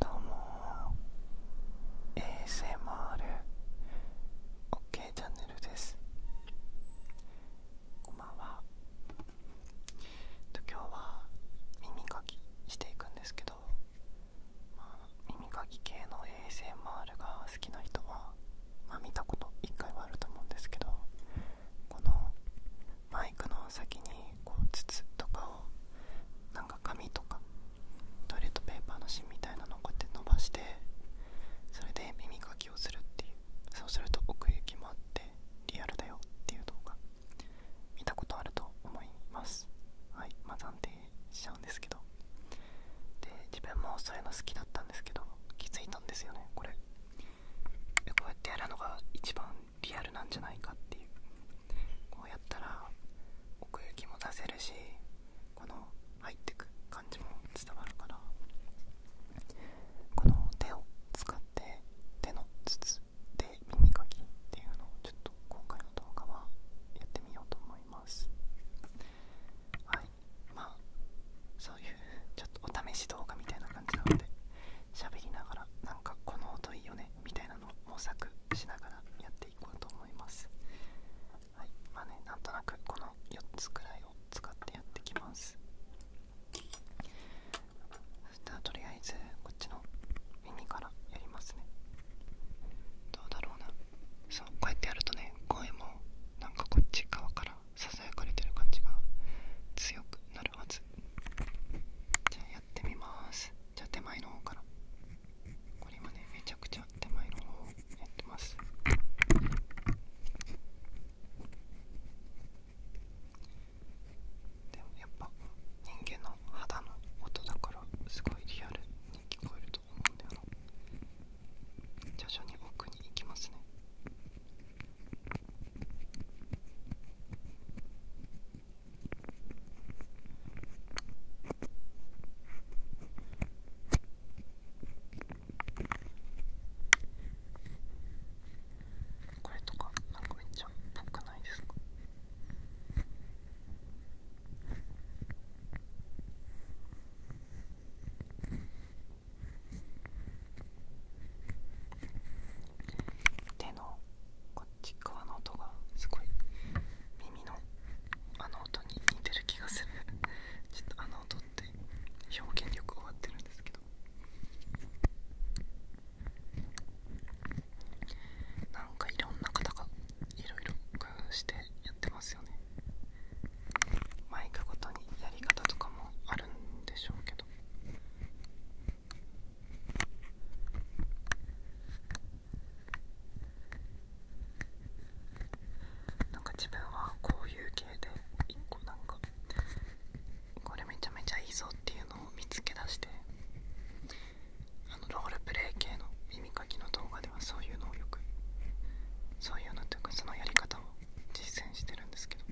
どうも ASMR OK チャンネルですこんばんは今日は耳かきしていくんですけど、耳かき系の ASMR が好きな人は、ま見たこと1回はあると思うんですけどこのマイクの先にこう筒とかをなんか紙とかトイレットペーパーの芯みたいなのをこうやって伸ばしてそれで耳かきをするっていうそうすると奥行きもあってリアルだよっていう動画見たことあると思いますはいまあ暫定しちゃうんですけどで自分もそういうの好きだったんですけど気づいたんですよねこれこうやってやるのが一番リアルなんじゃないかっていうこうやったら奥行きも出せるしこの入ってく感じも伝わるからこの手を使って手の筒で耳かきっていうのをちょっと今回の動画はやってみようと思いますはいまあそういうちょっとお試し動画みたいな感じなので喋りながらなんかこの音いいよねみたいなのを模索しながらやっていこうと思いますはいまあねなんとなくこの4つくらいを使ってやってきますそしたらとりあえずこっちの耳からやりますねどうだろうなそうこうやってやるとね声もなんかこっち側からささやかれてる感じが強くなるはずじゃあやってみますじゃあ手前の方からこれはねめちゃくちゃ手前の方をやってますでもやっぱ人間の肌の音だからすごいリアルに聞こえると思うんだよな徐々に奥に行きますねこれとかなんかめっちゃっくないですかで前のこっち側の音がすごい耳のあの音に似てる気がする ちょっとあの音って表現力終わってるんですけどなんかいろんな方がいろいろ工夫してやってますよねマイクごとにやり方とかもあるんでしょうけどなんか自分はこういう系で一個なんかこれめちゃめちゃいいぞっていうのを見つけ出してあのロールプレイ系の耳かきの動画ではそういうのをよくそういうのっていうかそのやり方を実践してるんですけど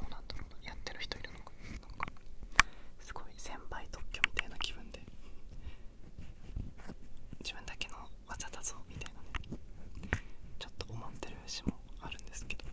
どうなんだろうなやってる人いるのかすごい先輩特許みたいな気分で自分だけの技だぞみたいなねちょっと思ってる節もあるんですけど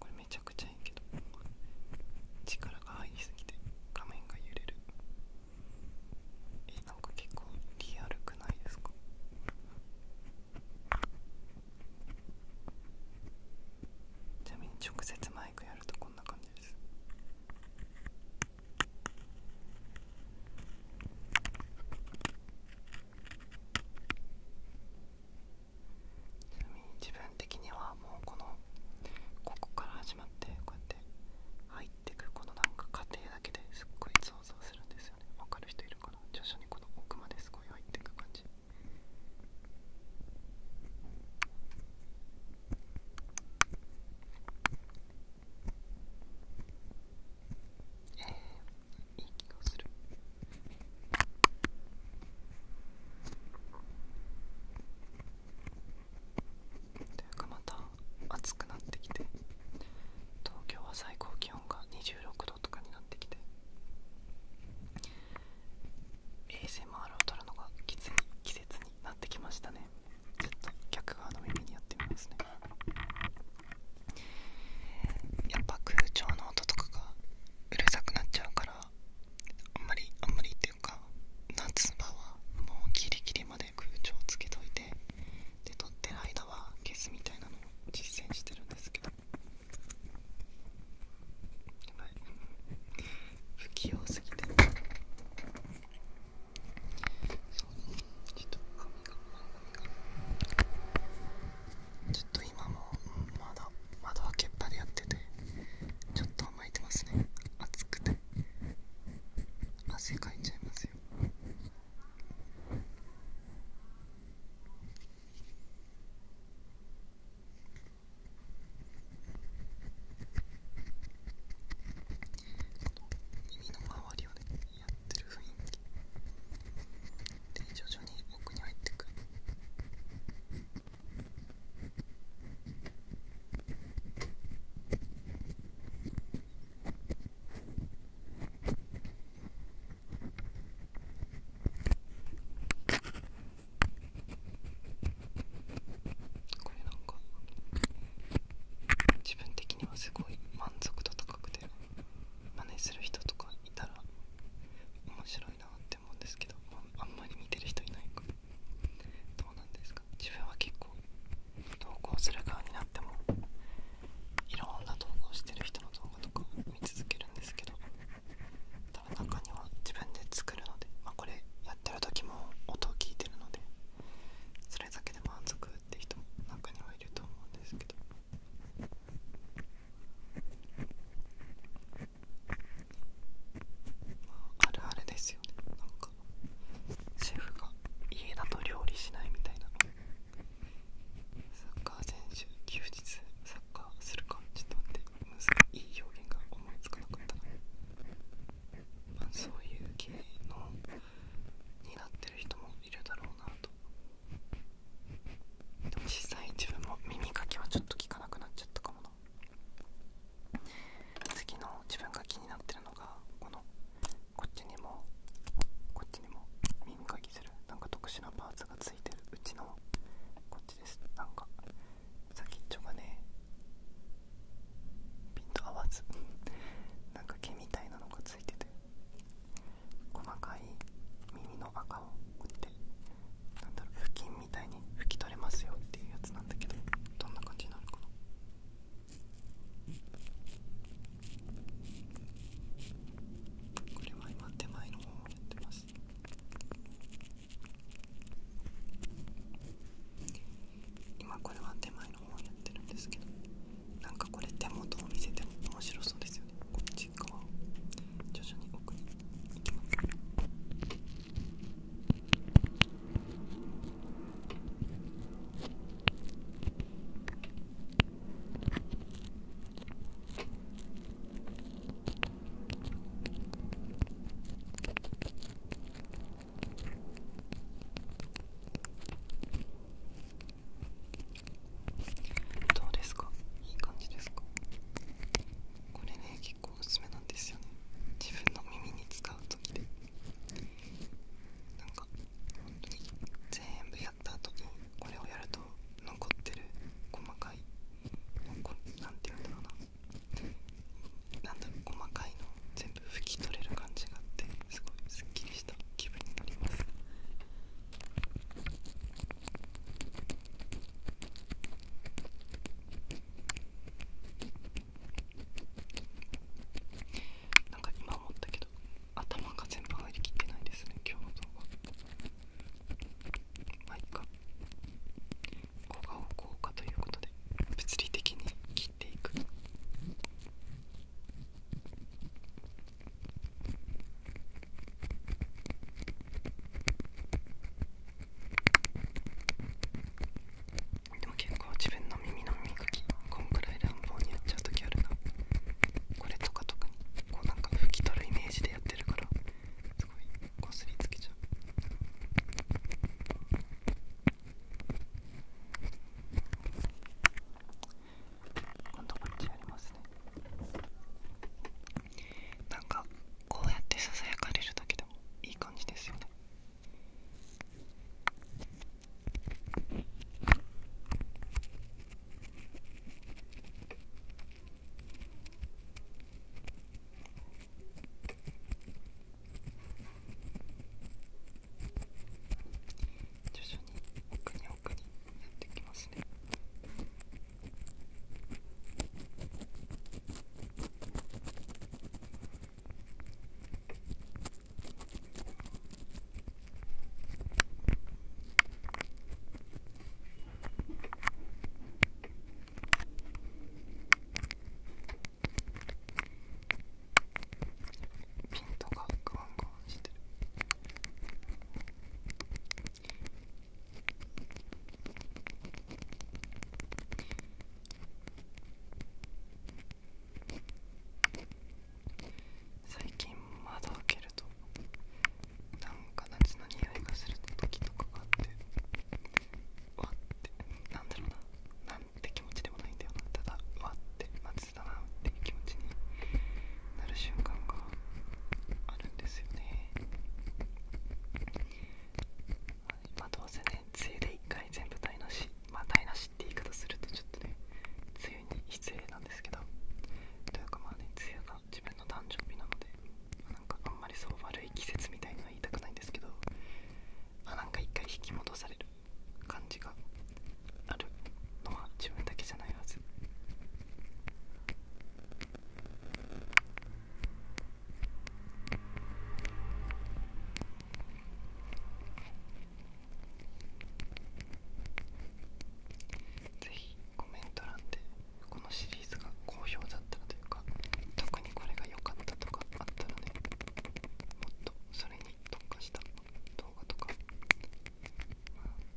これめちゃくちゃいいけど力が入りすぎて画面が揺れるえなんか結構リアルくないですかちなみに直接マイクやるとこんな感じですちなみに自分的にはもうこのここから始まってこうやって入ってくこのなんか過程だけですっごい想像するんですよね分かる人いるかな徐々にこの奥まですごい入ってく感じえー、いい気がする。というかまた暑くなってきて東京は最高気温が26度。こととかになってきて ASMR を撮るのがきつい季節になってきましたねちょっと逆側の耳にやってみますねやっぱ空調の音とかがうるさくなっちゃうからあんまりあんまりっていうか夏場はもうギリギリまで空調つけといてで撮ってる間は消すみたいなのを実践してるんですけど不器用すぎてちょっと今もまだ窓開けっぱでやっててちょっと甘えてますね暑くて汗かいちゃいますよ耳の周りをねやってる雰囲気で徐々に奥に入ってくる耳これなんか自分的にはすごい満足度高くて真似する人とかいたら面白いなって思うんですけど、まあ、んまり見てる人いないから。どうなんですか自分は結構投稿する側になってもいろんな投稿してる人の動画とか見続けるんですけど中には自分で作るので、まあ、これやってる時も音を聞いてるのでそれだけで満足って人も中にはいると思うんですけどあるあるですよねなんかシェフが家だと料理しないみたいなカー選手休日サッカーするかちょっと待ってむずいい表現が思いつかなかったな、まあ、そういう系のになってる人もいるだろうなとでも実際自分も耳かきはちょっと聞かなくなっちゃったかもな次の自分が気になってるのがこのこっちにもこっちにも耳かきするなんか特殊なパーつか、ついてるうちのこっちですなんか先っちょがねピんと合わず なんか毛みたいなのがついてて細かい耳の赤をこうやってなんだろう布巾みたいに拭き取れますよっていうやつなんだけどどんな感じになるかなこれは今手前の方をやってます今これは手前の方にやってるんですけどなんかこれ手元を見せても面白そうですよねこっち側を徐々に奥に行きますどうですかいい感じですかこれね結構おめなんですよね自分の耳に使う時でなんか本当に全部やった後にこれをやると細かいの全部拭き取れる感じがあってすごいすっきりした気分になりますなんか今思ったけど頭が全部入りきってないですね今日の動画まあいっか効果を効果ということで物理的に切っていくでも結構自分の耳の耳かきこんくらい乱暴にやっちゃう時あるなこれとか特にこうなんか拭き取るイメージでやってるからすごいこすりつけちゃう今度こっちやりますねなんかこうやってささやかれるだけでもいい感じですよね徐々に奥に奥にやってきますねピントがグワングワンしてる最近窓開けるとなんか夏の匂いがする時とかがあってうわってなんだろうななんて気持ちでもないんだよなただうわって夏だなっていう気持ちになる瞬間があるんですよね、まあどうせね梅雨で1回全部台無しまあ台無しって言い方するとちょっとね梅雨に失礼なんですけどというかまあね梅雨が自分の誕生日なのでなんかあんまりそう悪い季節みたいなは言いたくないんですけどまあなんか一回引き戻される感じがあるのは自分だけじゃないはずぜひコメント欄でこのシリーズが好評だったらというか特にこれが良かったとかあったらねもっとそれに特化した動画とか、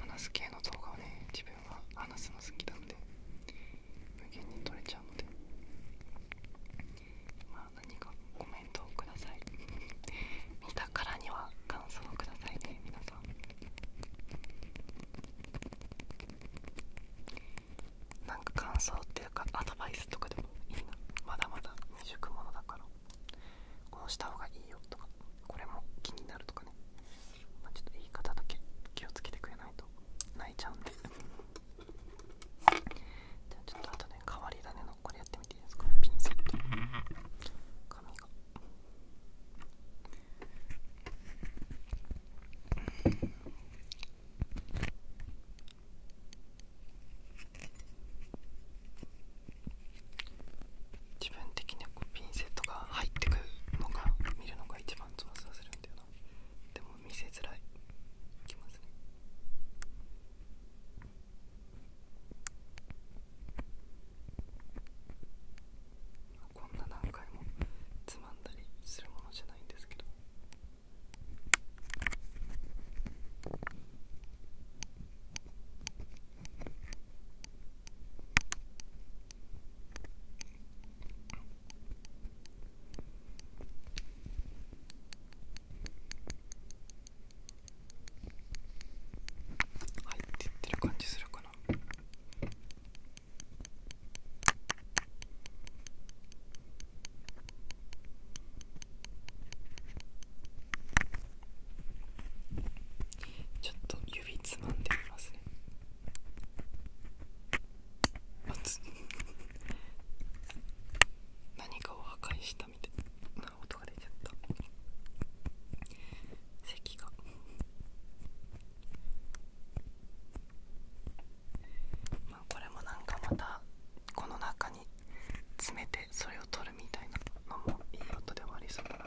話す系の動画をね自分は話すの好きなので無限に撮れちゃうのでまあ何かコメントをください 見たからには感想をくださいね皆さんなんか感想っていうかアドバイスとかでもいいなまだまだ未熟者だからこうした方がいいよとかこれも気になるとかね、まちょっと言い方だけ気をつけてくれないと泣いちゃうんでじゃあちょっとあとね変わり種のこれやってみていいですかピンセット髪がうん。自分的にはこうピンセットが入ってくるのが見るのが一番つまさせるんだよなでも見せづらいいきますねこんな何回もつまんだりするものじゃないんですけど入ってってる感じするかな。ちょっと指つまんでみますねあつ何かを破壊したみたいな音が出ちゃった咳がまあこれもなんかまたこの中に詰めてそれを取るみたいなのもいいことではありそうだな。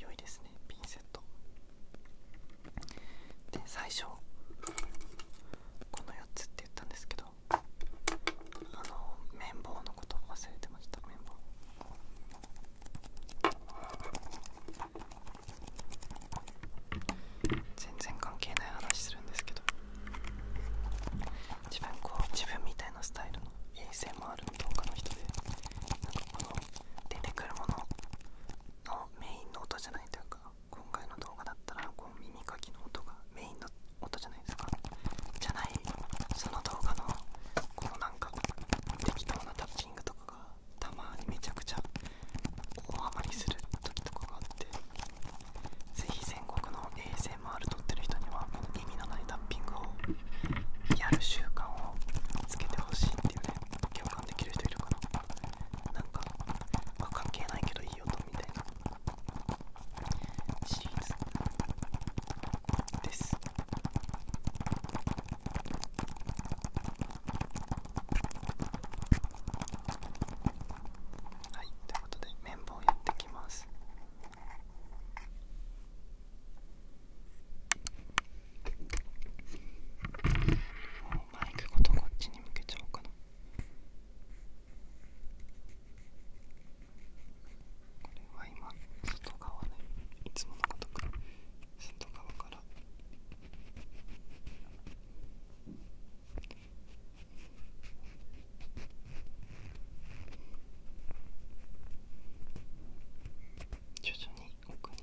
良いですねピンセットで最初この4つって言ったんですけどあの綿棒のこと忘れてました綿棒全然関係ない話するんですけど自分こう自分みたいなスタイルの衛星もある。動画の人でなんかこの出てくるもののメインの音じゃないというか今回の動画だったらこう耳かきの音がメインの音じゃないですかじゃないその動画のこのなんか適当なタッチングとかが？かがたまにめちゃくちゃ大ハマりする時とかがあってぜひ全国の ASMR 撮ってる人にはこの意味のないタッピングをやる習慣をつけてほしいっていうね共感できる人いるかななんか、ま関係ないけどいい音みたいなシリーズですはい、ということで綿棒やってきます。もうマイクごとこっちに向けちゃおうかな。これは今外側ねいつものことく外側か徐々に奥に。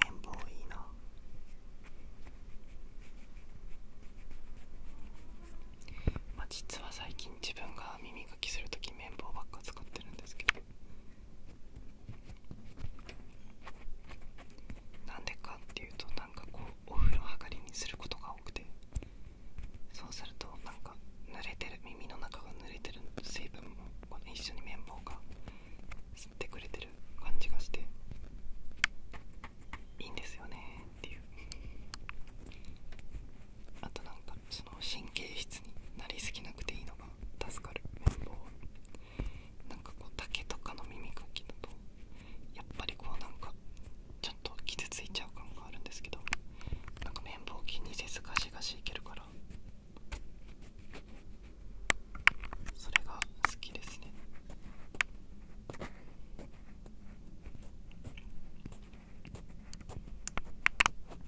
綿棒いいなまあ実は最近自分が耳かきするとき綿棒ばっか使ってるんですけどなんでかっていうとなんかこうお風呂上がりにすることが多くてそうするとなんか濡れてる耳の中が濡れてる水分もこの一緒に綿棒が吸ってくれてる感じがしていいんですよねっていうあとなんかその神経質になりすぎなくていいのが助かる綿棒はなんかこう竹とかの耳かきだとやっぱりこうなんかちょっと傷ついちゃう感があるんですけどなんか綿棒を気にせずガシガシいけるからそれが好きですね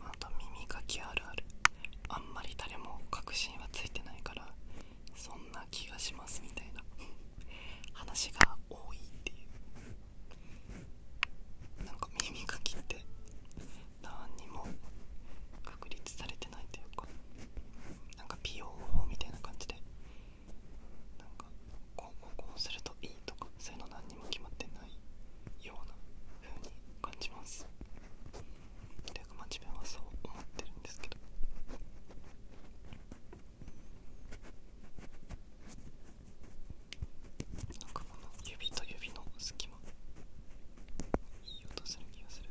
あと耳かきあるあるあんまり誰も確信はついてないからそんな気がしますみたいな話が多いっていうなんか耳かきって何にも確立されてないというかなんか美容法みたいな感じでなんかこうこうこうするといいとかそういうの何にも決まってないような風に感じますというかまあはそう思ってるんですけどなんかこの指と指の隙間いい音する気がする。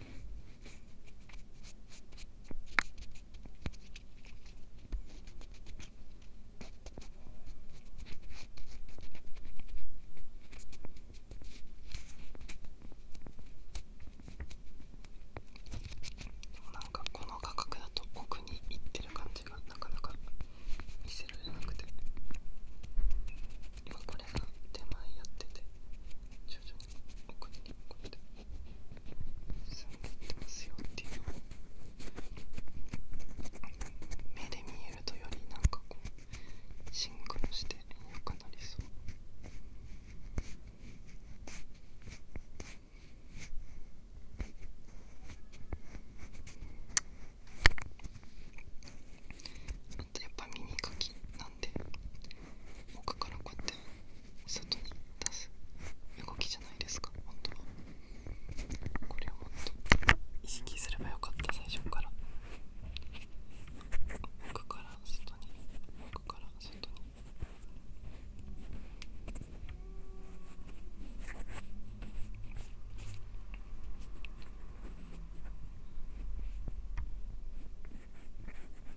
なんかこの画角だと奥に行ってる感じがなかなか見せられなくて今これが手前やってて徐々に奥にこうって。ってますよっていうのを目で見えるとよりなんかこうシンクロして良くなりそう。あとやっぱ耳かきなんで奥からこうやって外に出す動きじゃないですか本当はこれをもっと意識すればよかった最初から奥から外に奥から外にこ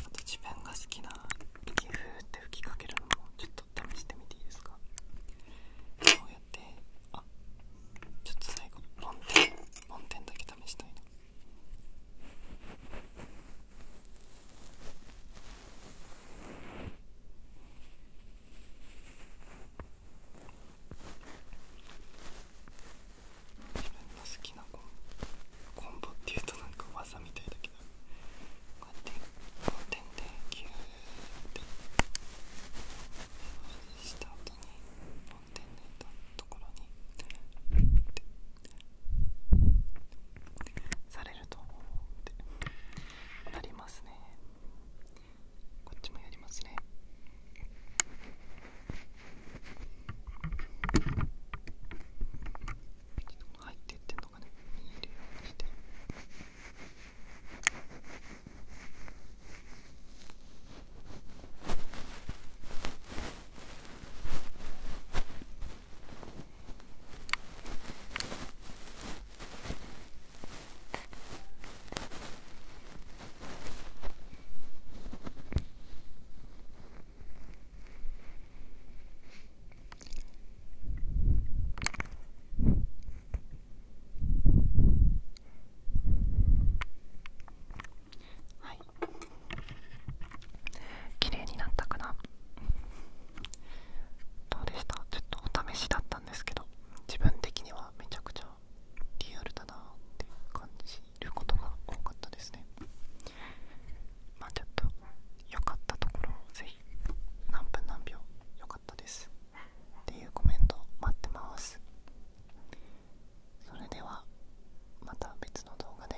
あと自分が好きな息ふーって吹きかけるのもちょっと試してみていいですかこうやってあちょっと最後梵天梵天だけ試したいな自分の好きなコンボっていうとなんか技みたいだけどこうやってコこう点でギューってした後にコンう点でたところにってされるとって。なりますね。こっちもやりますね入っていってんのかね見えるようにしてはい綺麗になったかなどうでしたちょっとお試しだったたんですけど自分的にはめちゃくちゃリアルだなって感じることが多かったですねまあちょっと良かったところをぜひ何分何秒良かったですっていうコメント待ってますそれではまた別の動画で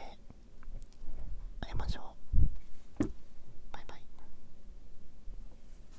会いましょうバイバイ